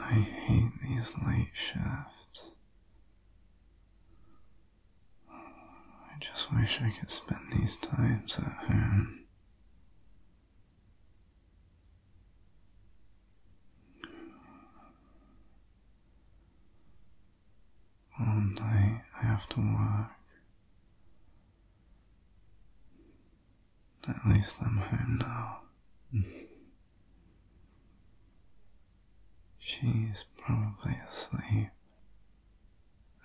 I hate these late shifts. I just wish I could spend these times at home. All day I have to work. At least I'm home now. She's probably asleep.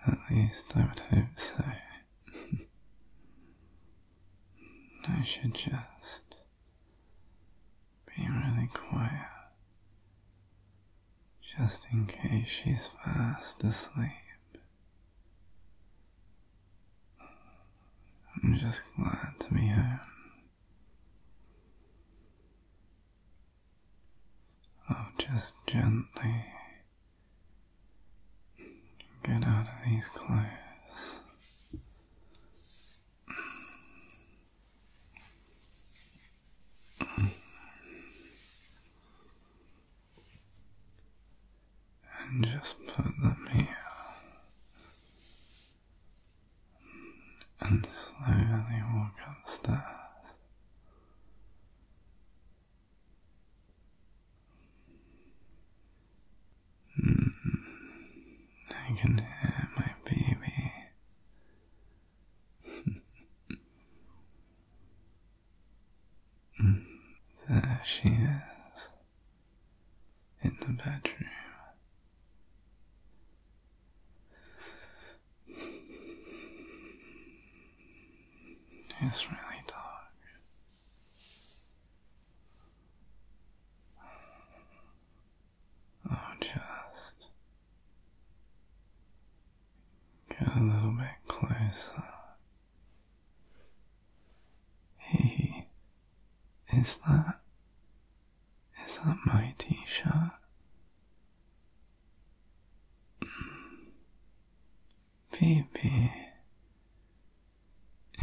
At least I would hope so. I should just be really quiet just in case she's fast asleep. I'm just glad to be home. I'll just gently get out of these clothes. And just put them here and slowly walk upstairs. Mm. I can hear my baby. Mm, there she is in the bedroom. It's really dark or oh, just get a little bit closer. Hey, is that is that my t-shirt? Hmm. Baby,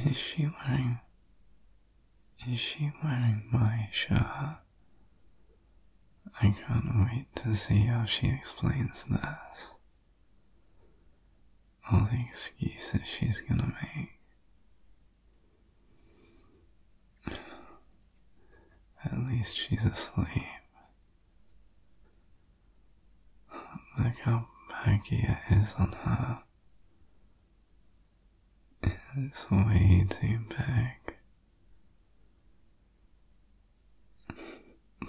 is she wearing. Is she wearing my shirt? I can't wait to see how she explains this. All the excuses she's gonna make. At least she's asleep. Look how baggy it is on her. It's way too big.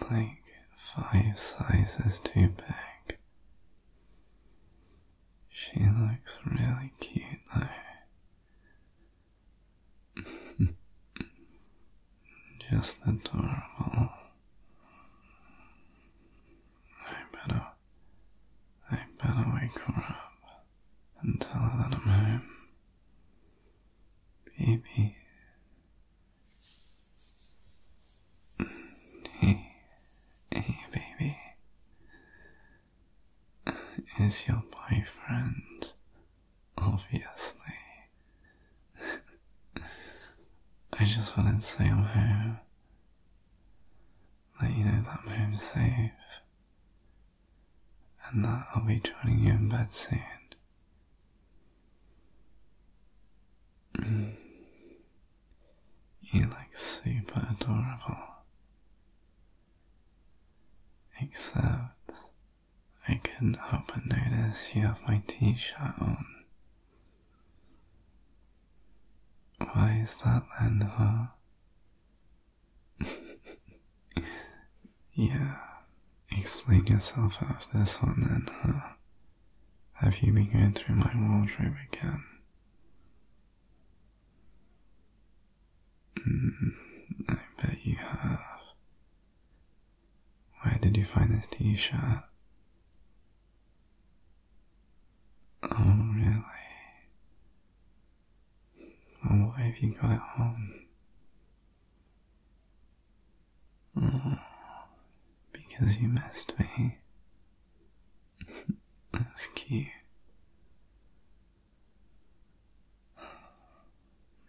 like five sizes too big. She looks really cute though. Just adorable. I better I better wake her up and tell her that I'm home. Baby. Hey, hey, baby. Is your boyfriend? Obviously. I just wanted to say I'm home. Let you know that I'm safe and that I'll be joining you in bed soon. Mm. You look super adorable. Except I couldn't help but notice you have my t shirt on why is that then her? yeah, explain yourself after this one then, huh? Have you been going through my wardrobe again? Mm, I bet you have. Why did you find this t-shirt? Oh, really? Well, oh, why have you got it on? Oh, because you missed me. That's cute.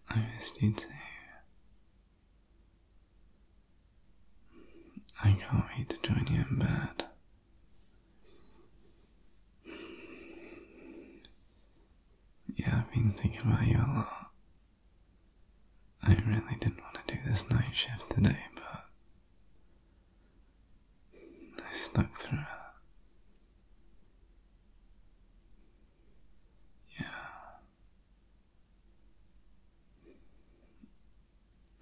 I missed you too. I can't wait to join you in bed. Yeah, I've been thinking about you a lot. I really didn't want to do this night shift today, but I stuck through it. Yeah.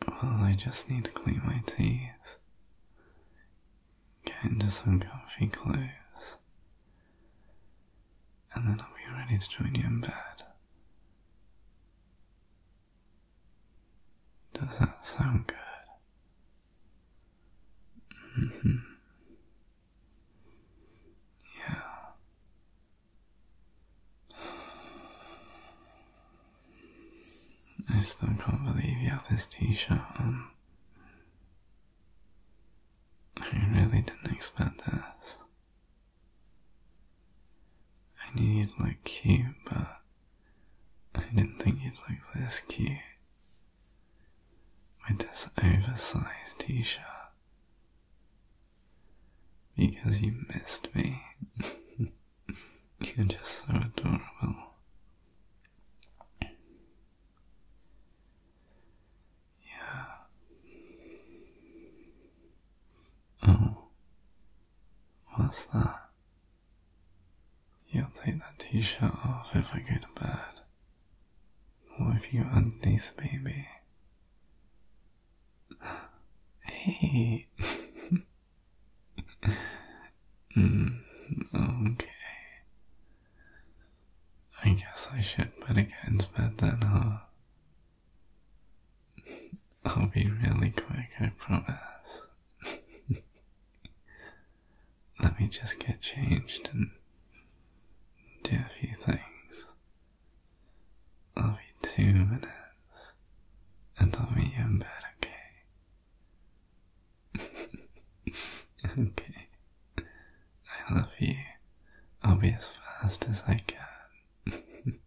Well, I just need to clean my teeth. Get into some comfy clothes. And then I'll be ready to join you in bed. Does that sound good? Mm-hmm. Yeah. I still can't believe you have this t-shirt on. I really didn't expect this. I knew you'd look cute, but I didn't think you'd look this cute with this oversized t shirt because you missed me. You're just so adorable. Yeah. Oh. What's that? You'll take that t shirt off if I go to bed. What if you undies, baby? Hey. mm, okay. I guess I should put a in bed then, huh? I'll be really quick, I promise. Let me just get changed and do a few things. I'll be two minutes and I'll be in bed, okay? okay. I love you. I'll be as fast as I can.